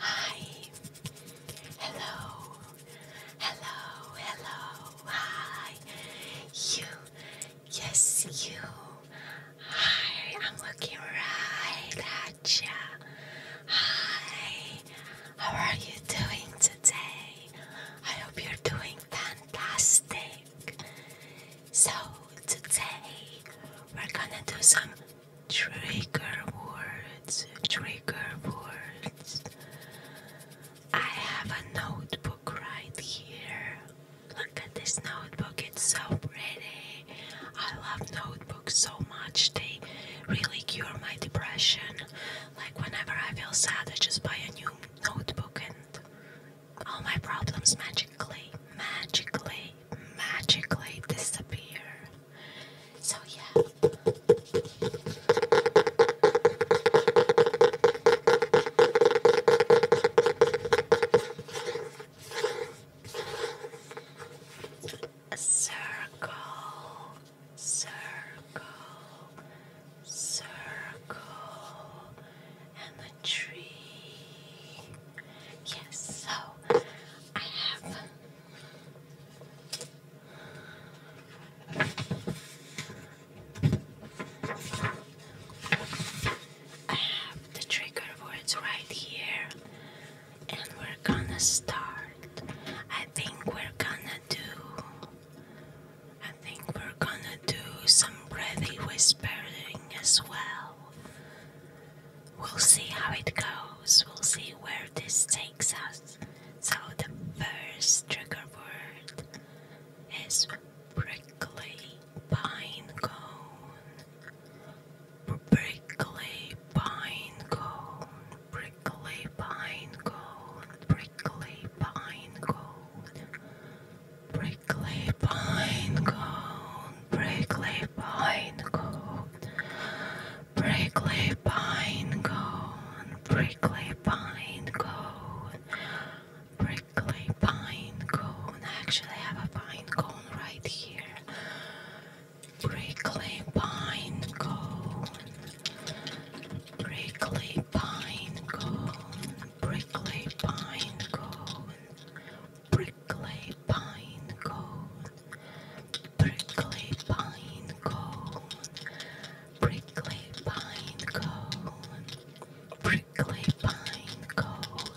Hi. Hello. Hello. Hello. Hi. You. Yes, you. Hi. I'm looking right at you. Hi. How are you doing today? I hope you're doing fantastic. So today we're gonna do some trigger words. Trigger words. I have a notebook right here. Look at this notebook, it's so pretty. I love notebooks so much. They really cure my depression. Like whenever I feel sad, I just buy a new notebook and all my problems magically, magically, magically disappear. So, yeah. A circle, circle, circle, and the tree. Yes, so I have I have the trigger words right here and we're gonna start. I think we're gonna do I think we're gonna do some breathy whispering as well. We'll see how it goes, we'll see where this takes us. So, the first trigger word is prickly pine cone. Prickly pine cone, prickly pine cone, prickly pine cone. Prickly Brickley pine cone, prickly pine cone, prickly pine cone, prickly pine cone, prickly pine cone. Actually, have a pine cone right here. Prickly pine cone, prickly pine cone, prickly pine cone. Prickly pine cone, prickly pine cone, prickly pine cone, prickly pine cone, prickly pine cone,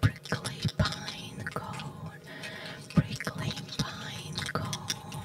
prickly pine cone, prickly pine cone.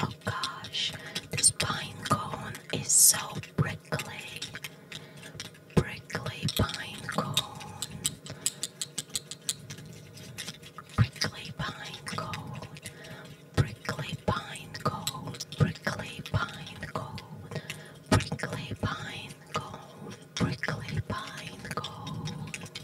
Oh gosh, this pine cone is so prickly. Prickly pine cone. Prickly pine cone. Prickly pine cone. Prickly pine cone. Prickly pine cone. Prickly pine cone.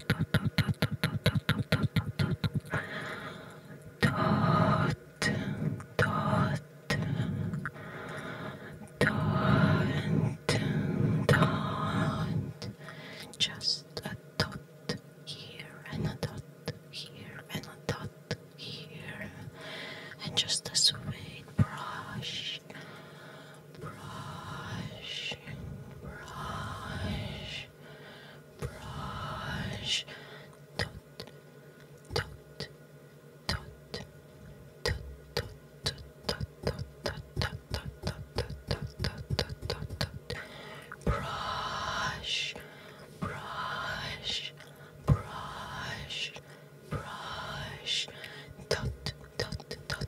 dot just a dot here and a dot here and a dot here and just a sweet brush brush, brush, brush, dot, dot, dot, dot, dot, dot, dot, dot, dot, brush, brush, brush, brush, dot, dot, dot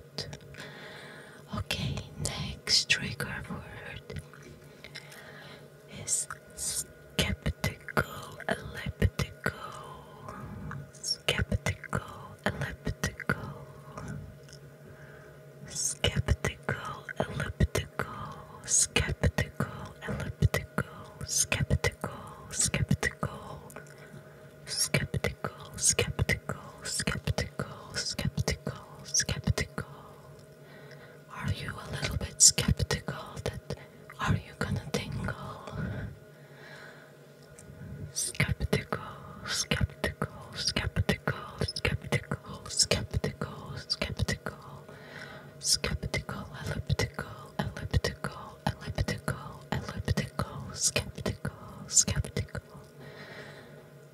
out. Okay, next trigger word is skeptical, elliptical, skeptical, elliptical, skeptical, elliptical, skeptical, elliptical, skeptical, skeptical, skeptical, skeptical skeptical, skeptical, skeptical, skeptical. Are you a little bit skeptical that are you gonna tingle? Skeptical, skeptical, skeptical, skeptical, skeptical, skeptical, skeptical, elliptical, elliptical, elliptical, elliptical, skeptical, skeptical.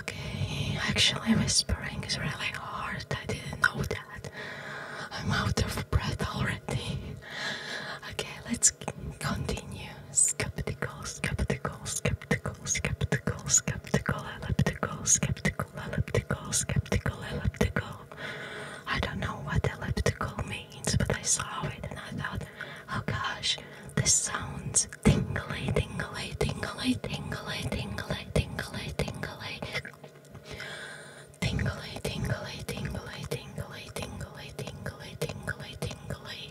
Okay, actually, whispering is really hard. I didn't know that. I'm out of breath already. Okay, let's continue. Skeptical, skeptical, skeptical, skeptical, skeptical, elliptical, skeptical, elliptical, skeptical, elliptical. I don't know what elliptical means, but I saw it and I thought Oh gosh, this sounds tingly, tingly, tingly, tingly, tingly, tingly, tingly. Tingly, tingly, tingly, tingly, tingly, tingly, tingly, tingly.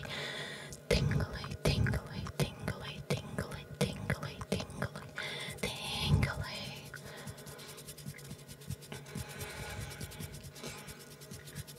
Tingly, tingly, tingly, tingly, tingly, tingly, tingly.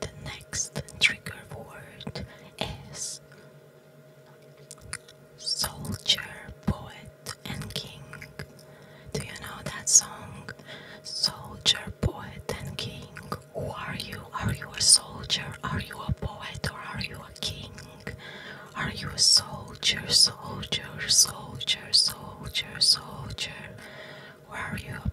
the next trigger word is Soldier, Poet, and King. Do you know that song? Soldier, Poet, and King. Who are you? Are you a soldier? Are you a poet? Or are you a king? Are you a soldier, soldier, soldier, soldier, soldier? Or are you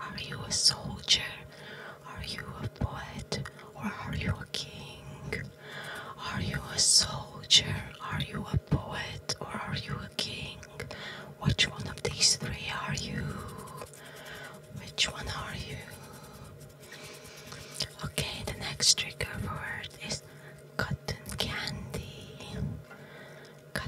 Are you a soldier? Are you a poet? Or are you a king? Are you a soldier? Are you a poet? Or are you a king? Which one of these three are you? Which one are you? Okay, the next trigger word is cotton candy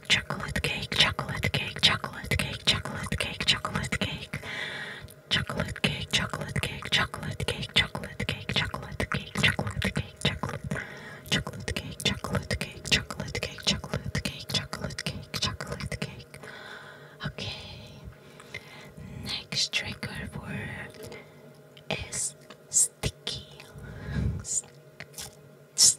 cake, chocolate cake, chocolate cake, chocolate cake, chocolate cake, chocolate cake, chocolate cake, chocolate cake, chocolate cake, chocolate cake, chocolate cake, chocolate cake, chocolate, chocolate cake, chocolate cake, chocolate cake, chocolate cake, chocolate cake, chocolate cake. Okay. Next trigger word is sticky. St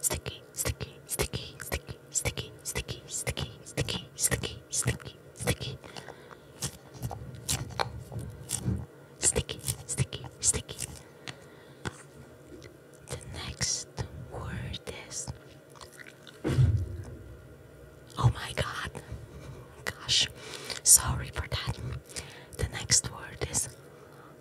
sticky, sticky, sticky, sticky, sticky, sticky, sticky, sticky, sticky, sticky, sticky, sticky, sticky, sticky, sticky. The next word is Oh my god. Gosh. Sorry for that. The next word is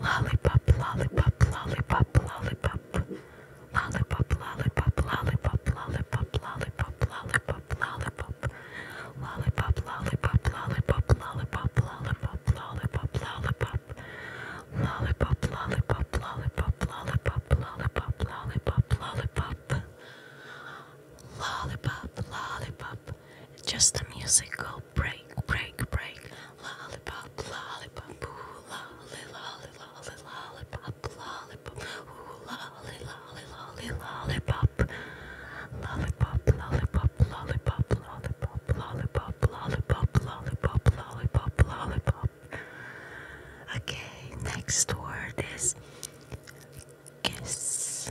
Lollipop, lollipop, lollipop, lollipop. Lollipop, lollipop, lollipop, lollipop, lollipop, lollipop, lollipop. Lollipop, lollipop, lollipop, lollipop, lollipop, lollipop, lollipop. Lollipop, lollipop, lollipop, lollipop, lollipop, lollipop, lollipop. Lollipop, lollipop. Just the music goes lollipop break, break, break. Lollipop, lollipop, ooh, lolly, lolly, lolly, lollipop, lollipop, ooh, lolly, lolly, lolly, lollipop. Lollipop, lollipop, lollipop, lollipop, lollipop, lollipop, lollipop, lollipop, lollipop. Okay, next word is kiss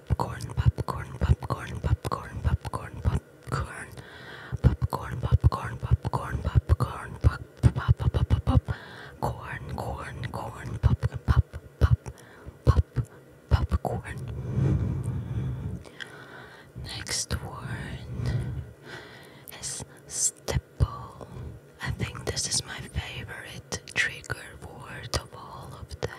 popcorn, popcorn, popcorn, popcorn, popcorn, popcorn, popcorn, popcorn, popcorn, popcorn, pop, pop, pop, pop, pop, corn, corn, corn, pop, pop, pop, pop, popcorn. Next word is stipple. I think this is my favorite trigger word of all of them.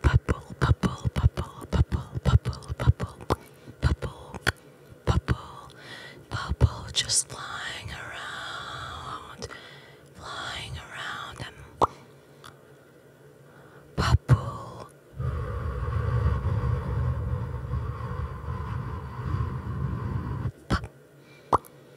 Purple, purple, purple, purple, purple, purple, purple, purple, purple, just flying around, flying around them. Purple.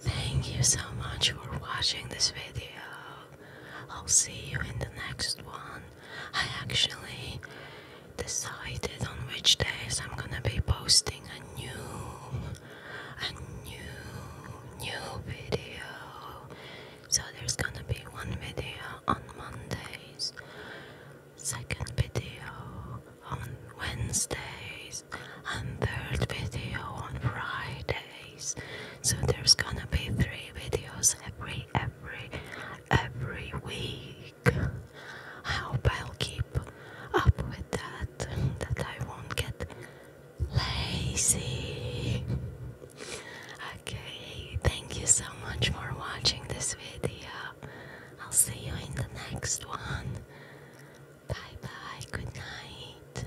Thank you so much for watching this video. I'll see you in the next one. I actually decided on which days I'm gonna be posting a new a new new video. So there's gonna be one video on Mondays, second video on Wednesdays, and third video on Friday. So there's gonna be three videos every every every week. I hope I'll keep up with that that I won't get lazy. Okay, thank you so much for watching this video. I'll see you in the next one. Bye bye, good night.